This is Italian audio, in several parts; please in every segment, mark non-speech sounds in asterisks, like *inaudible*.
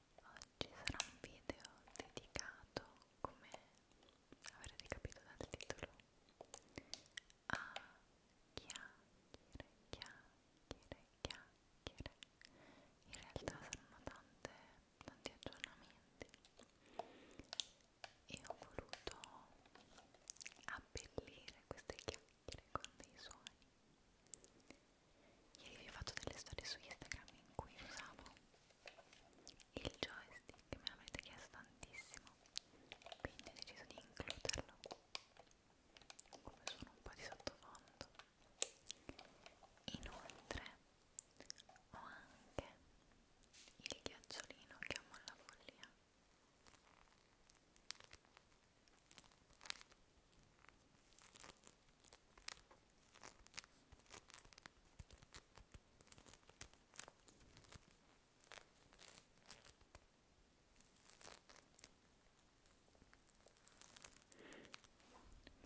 oggi sarà un video dedicato, come avrete capito dal titolo, a chiacchiere, chiacchiere, chiacchiere. In realtà saranno tante, tanti aggiornamenti e ho voluto abbellire queste chiacchiere con dei suoni Ieri vi ho fatto delle storie su Instagram in cui usavo il joystick che me l'avete chiesto tantissimo, quindi ho deciso di includerlo come suono un po' di sottofondo. Inoltre ho anche il ghiacciolino che amo alla follia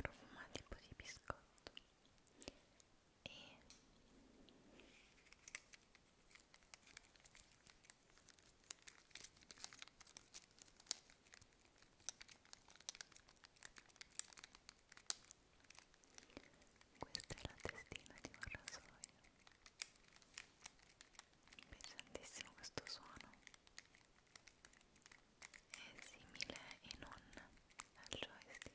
profuma tipo di biscotto e questa è la testina di un rasoio. Mi piace tantissimo questo suono. È simile e non al joystick.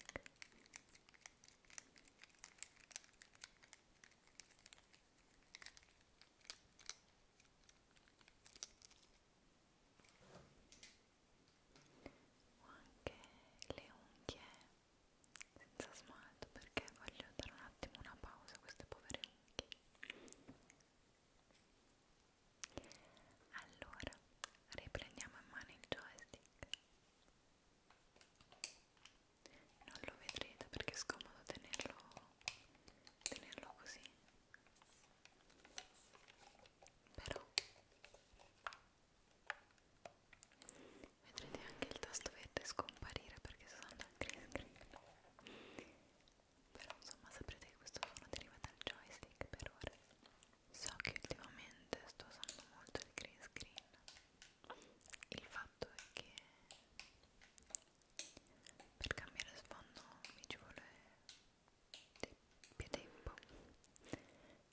Ora ho anche le unghie senza smalto perché voglio dare un attimo una pausa a queste povere unghie allora riprendiamo in mano il joystick non lo vedrete perché è scomodo tenerlo, tenerlo così però vedrete anche il tasto verde scomparire perché sono al green screen però insomma saprete che questo suono deriva dal joystick per ora so che ultimamente sto usando molto il green screen il fatto è che per cambiare sfondo mi ci vuole più tempo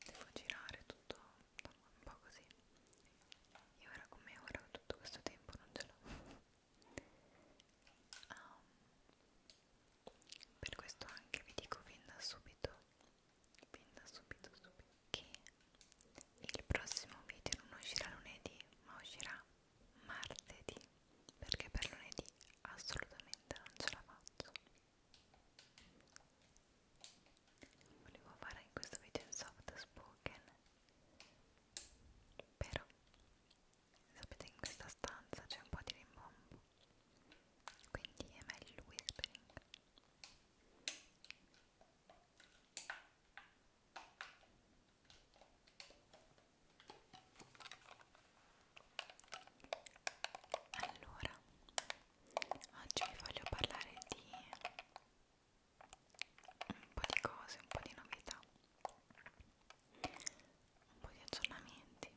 devo girare tutto un po' così e ora come ora tutto questo tempo non ce l'ho um, per questo anche vi dico fin da subito fin da subito subito che il prossimo video non uscirà lunedì ma uscirà martedì perché per lunedì assolutamente non ce la faccio volevo fare in questo video un soft spoken però sapete in questa stanza c'è un po' di rimbombo quindi è meglio il whispering allora, oggi vi voglio parlare di un po' di cose, un po' di novità, un po' di aggiornamenti.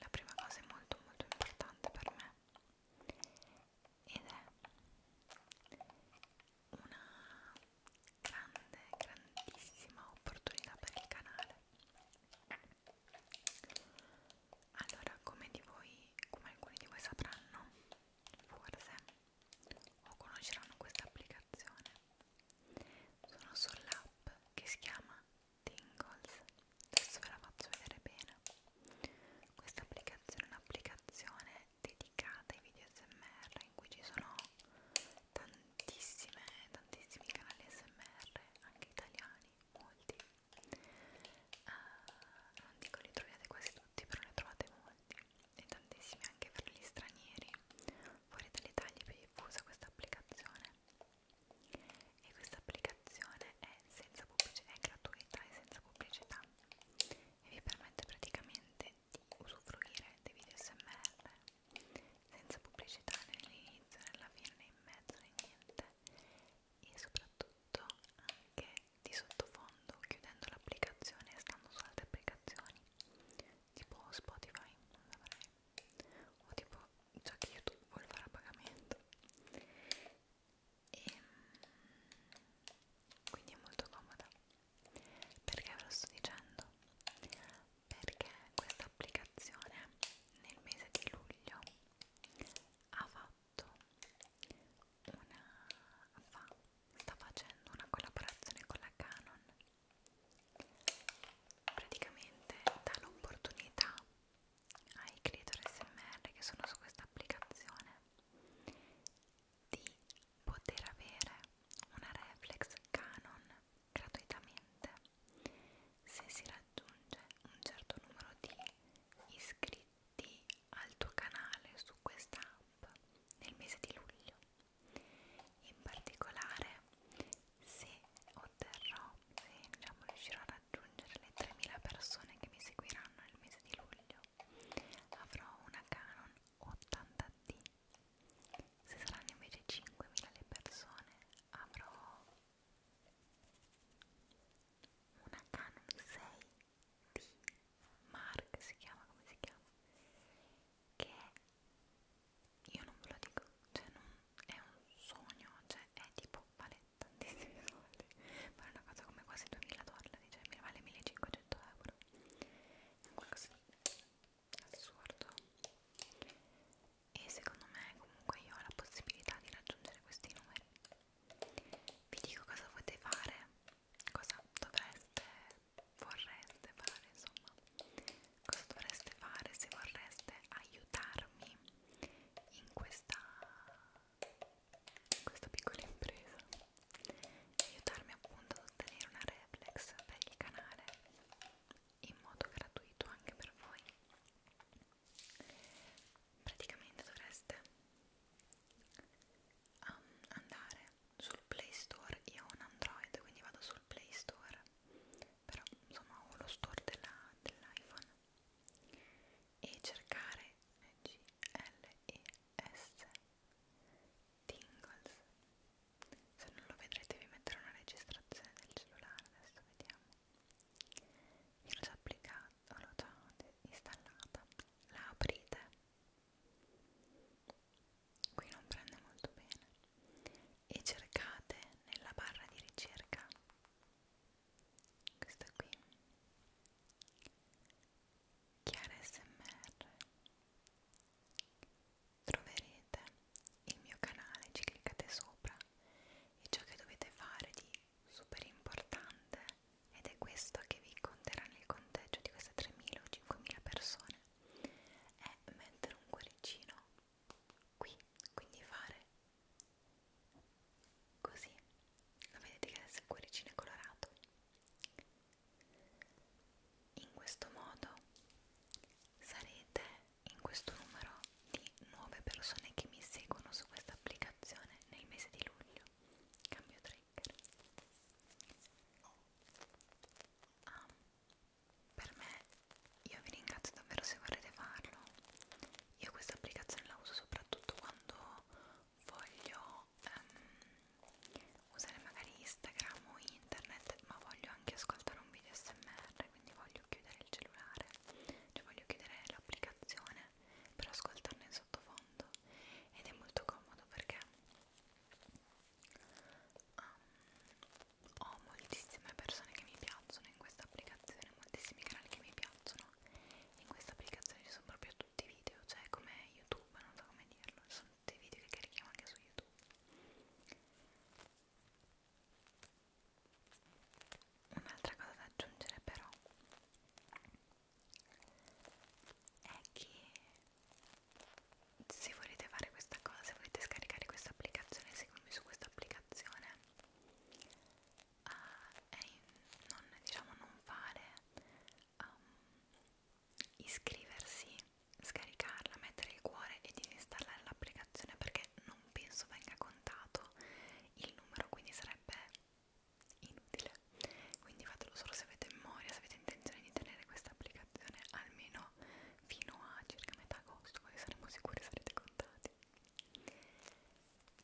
La prima cosa è molto molto importante per me ed è una grande, grandissima opportunità per il canale allora come di voi come alcuni di voi sapranno forse o conosceranno questa applicazione sono sull'app che si chiama Tingles adesso ve la faccio vedere bene questa applicazione è un'applicazione dedicata ai video smr in cui ci sono tantissime, tantissimi canali smr, anche italiani, molti uh, non dico li troviate quasi tutti, però ne trovate molti e tantissimi anche per gli stranieri fuori dall'Italia è più diffusa questa applicazione e questa applicazione è, senza è gratuita e senza pubblicità e vi permette praticamente di usufruire dei video smr senza pubblicità nell'inizio, nella fine, né in mezzo, né niente e soprattutto anche di sottofondo chiudendo l'applicazione e stando su altre applicazioni tipo Spotify non l'avrei o tipo già che YouTube vuole fare a pagamento e quindi è molto comoda perché ve lo sto dicendo perché questa applicazione nel mese di luglio ha fatto una fa, sta facendo una collaborazione con la Canon praticamente dà l'opportunità ai creator SMR che sono su questa applicazione di poter avere una reflex Canon gratuitamente se si raggiunge un certo numero di iscritti al tuo canale su questa app nel mese di luglio. In particolare se otterrò, se diciamo, riuscirò a raggiungere le 3.000 persone che mi seguiranno nel mese di luglio, avrò una Canon 80D. Se saranno invece 5.000 le persone, avrò una Canon 6D Mark si chiama come si chiama che io non ve lo dico cioè non è un sogno cioè è tipo vale tantissimi *laughs* soldi ma è una cosa come quasi 2000 dollari cioè mi vale 1500 euro è qualcosa di assurdo e secondo me comunque io ho la possibilità di raggiungere questi numeri vi dico cosa potete fare cosa dovreste vorreste fare insomma cosa dovreste fare se vorreste aiutarmi in questa in questa piccola impresa aiutarmi appunto ad ottenere una reflex per il canale in modo gratuito anche per voi praticamente dovreste um, andare sul play store io ho un android quindi vado sul play store però insomma ho lo store della, dell'iphone e cercare g l e s Tingles se non lo vedrete vi metterò una registrazione del cellulare adesso vediamo io l'ho già applicata, l'ho già installata la aprite qui non prende molto bene e cercate nella barra di ricerca questa qui chiara smr troverete il mio canale, ci cliccate sopra e ciò che dovete fare di super importante ed è questo che vi conterà nel conteggio di queste 3.000 o 5.000 persone è mettere un cuoricino qui, quindi fare così lo vedete che adesso il cuoricino è colorato in questo modo sarete in questo numero di nuove persone che mi seguono su questa applicazione nel mese di luglio. Cambio trigger. Ah, per me, io vi ringrazio davvero se vorrete farlo. Io questa applicazione la uso soprattutto quando voglio um, usare magari Instagram o internet, ma voglio anche ascoltare un video SMR, quindi voglio chiudere il cellulare cioè voglio chiudere l'applicazione per ascoltarne in sottofondo ed è molto comodo perché um, ho moltissime persone che mi piacciono in questa applicazione, moltissimi canali che mi piacciono in questa applicazione ci sono proprio tutti i video, cioè come YouTube, non so come dirlo, sono tutti i video che carichiamo anche su YouTube un'altra cosa da aggiungere però è che se volete fare questa cosa, se volete scaricare questa applicazione, seguimi su questa applicazione uh, eh, è in, non diciamo non fare um, iscriversi, scaricarla, mettere il cuore e disinstallare l'applicazione perché non non penso venga contato il numero quindi sarebbe inutile quindi fatelo solo se avete memoria se avete intenzione di tenere questa applicazione almeno fino a circa metà agosto così saremo sicuri sarete contati giù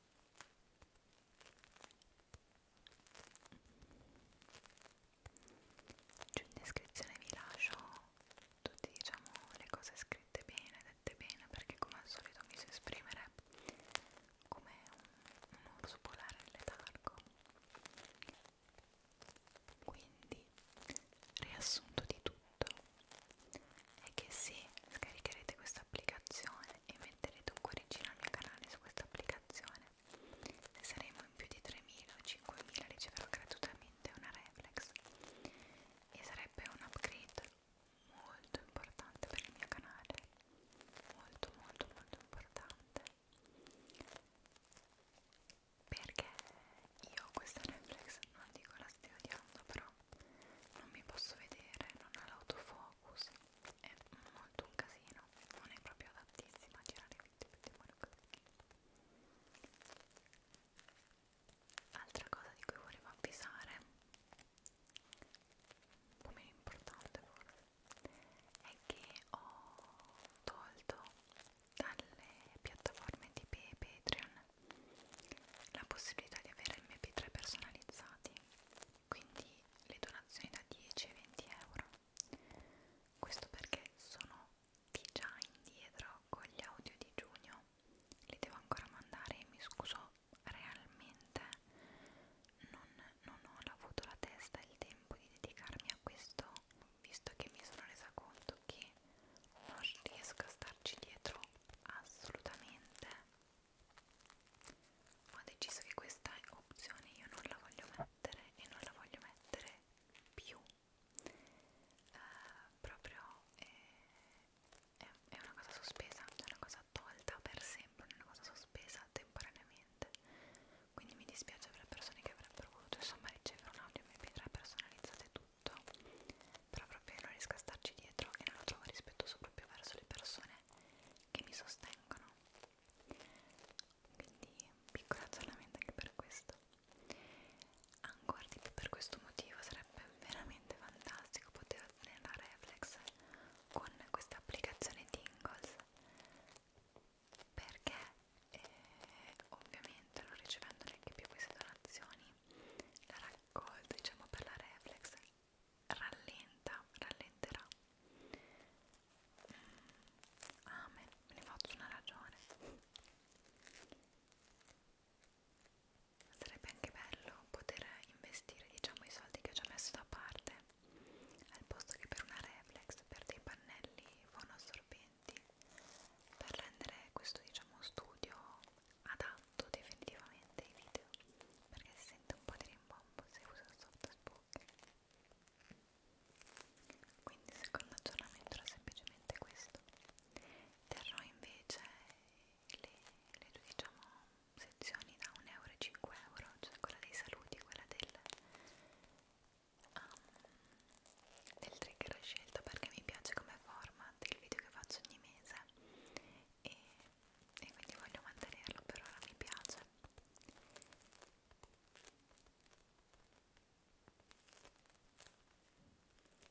in descrizione vi lascio tutte diciamo le cose scritte bene, dette bene perché come al solito mi so esprimere come un, un orso polare in letargo quindi riassunto di tutto è che se scaricherete questa applicazione e metterete un cuoricino al mio canale su questa applicazione ne saremo in più di 3.000 o 5.000 riceverò gratuitamente una reflex e sarebbe un upgrade molto importante per il mio canale molto molto molto importante perché io questa reflex non dico la stia odiando però non mi posso vedere non ha l'autofocus è molto un casino non è proprio adattissima a girare i video così altra cosa di cui volevo avvisare un po' meno importante forse è che ho tolto dalle piattaforme di Patreon la possibilità di avere mp3 personalizzati quindi le donazioni da 10 e 20 euro questo perché sono di già indietro con gli audio di giugno li devo ancora mandare e mi scuso realmente non, non ho avuto la testa e il tempo di dedicarmi a questo visto che mi sono resa conto che non riesco a starci dietro assolutamente ho deciso che questa opzione io non la voglio mettere e non la voglio mettere più eh, proprio eh, è, è una cosa sospesa, è una cosa tolta per sempre, è una cosa sospesa temporaneamente. Quindi mi dispiace per le persone che avrebbero voluto insomma ricevere un audio mp3 personalizzato e tutto, però proprio non riesco a starci dietro e non lo trovo rispettoso proprio verso le persone che mi sostengono. Quindi piccolo aggiornamento anche per questo ancora di più per questo motivo sarebbe veramente fantastico poter ottenere la reflex con questa applicazione Tingles perché eh, ovviamente non ricevendo neanche più queste donazioni la raccolta diciamo per la reflex rallenta rallenterà mm, amen ah, me ne faccio una ragione sarebbe anche bello poter investire diciamo i soldi che ho già messo da parte al posto che per una reflex per dei pannelli fonoassorbenti per rendere questo diciamo studio adatto definitivamente ai video perché si sente un po' di rimbombo se uso il soft spook quindi il secondo aggiornamento era semplicemente questo terrò invece le, le due diciamo sezioni da 1 euro e 5 euro cioè quella dei saluti quella del um, del trigger scelto perché mi piace come format il video che faccio ogni mese e, e quindi voglio mantenerlo per ora mi piace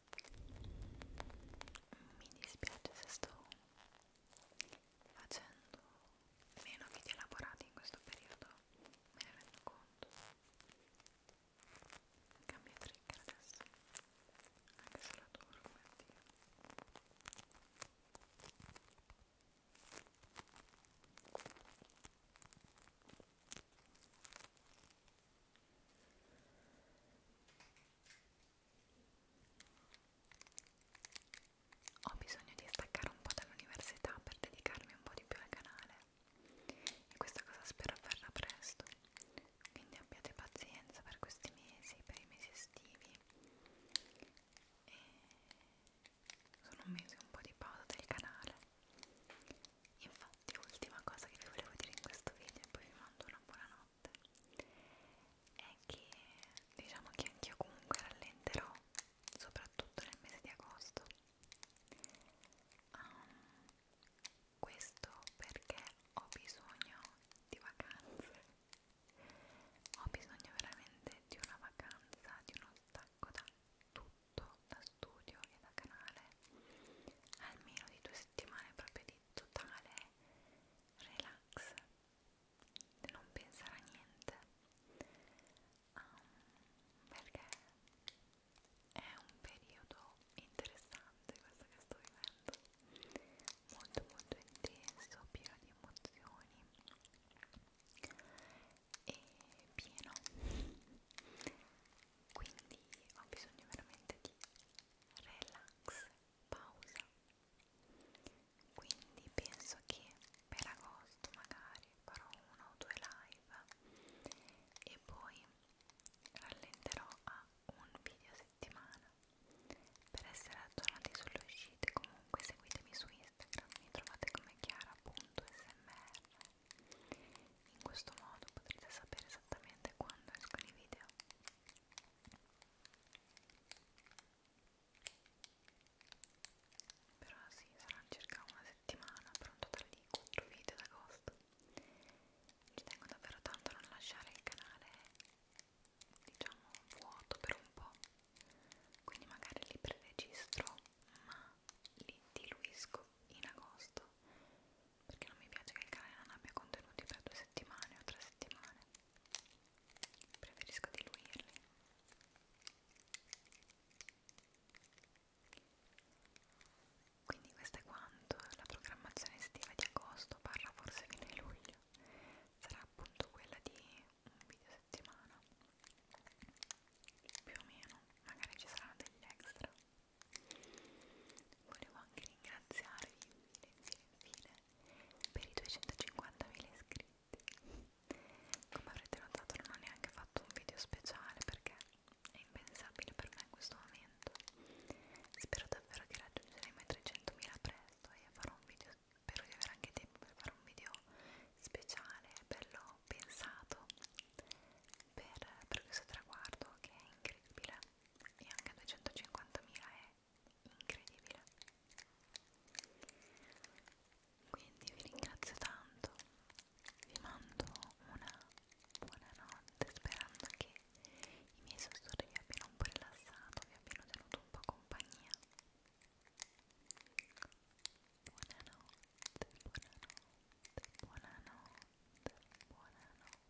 mi dispiace se sto facendo meno video elaborati in questo periodo me ne rendo conto cambio trigger adesso anche se la adoro come Dio ho bisogno di staccare un po' dall'università per dedicarmi un po' di più al canale e questa cosa spero avverrà presto, quindi abbiate pazienza per questi mesi, per i mesi estivi e sono un mese un po' di pausa del canale. Infatti ultima cosa che vi volevo dire in questo video e poi vi mando una buona notte interessante è che diciamo che anch'io comunque rallenterò soprattutto nel mese di agosto um, questo perché ho bisogno di vacanze ho bisogno veramente di una vacanza di uno stacco da tutto da studio e da canale almeno di due settimane proprio di di totale relax, non pensare a niente, um, perché è un periodo interessante questo che sto vivendo, molto molto intenso, pieno di emozioni e pieno quindi ho bisogno veramente di relax pausa quindi penso che per agosto magari farò una o due live e poi rallenterò a un video a settimana per essere aggiornati sulle uscite comunque seguitemi su Instagram mi trovate come chiara.smr in questo modo potrete sapere esattamente quando escono i video però sì, sarà circa una settimana per un totale di 4 video ad agosto ci tengo davvero tanto a non lasciare il canale diciamo vuoto per un po' quindi magari li preregistro ma li diluisco in agosto perché non mi piace che il canale non abbia contenuti per due settimane o tre settimane preferisco diluirli quindi questo è quanto la programmazione estiva di agosto parla forse fino a luglio sarà appunto quella di un video a settimana più o meno magari ci saranno degli extra volevo anche ringraziarvi infine infine infine per i 250.000 iscritti come avrete notato non ho neanche fatto un video speciale perché è impensabile per me in questo momento spero davvero che raggiungeremo i 300.000 presto e farò un video spero di avere anche tempo per fare un video speciale bello pensato per, per questo traguardo che è incredibile e anche 250.000 è incredibile quindi vi ringrazio tanto vi mando una buona notte sperando che i miei sussurri vi abbiano un po' rilassato vi abbiano tenuto un po' compagnia buonanotte buonanotte buonanotte buonanotte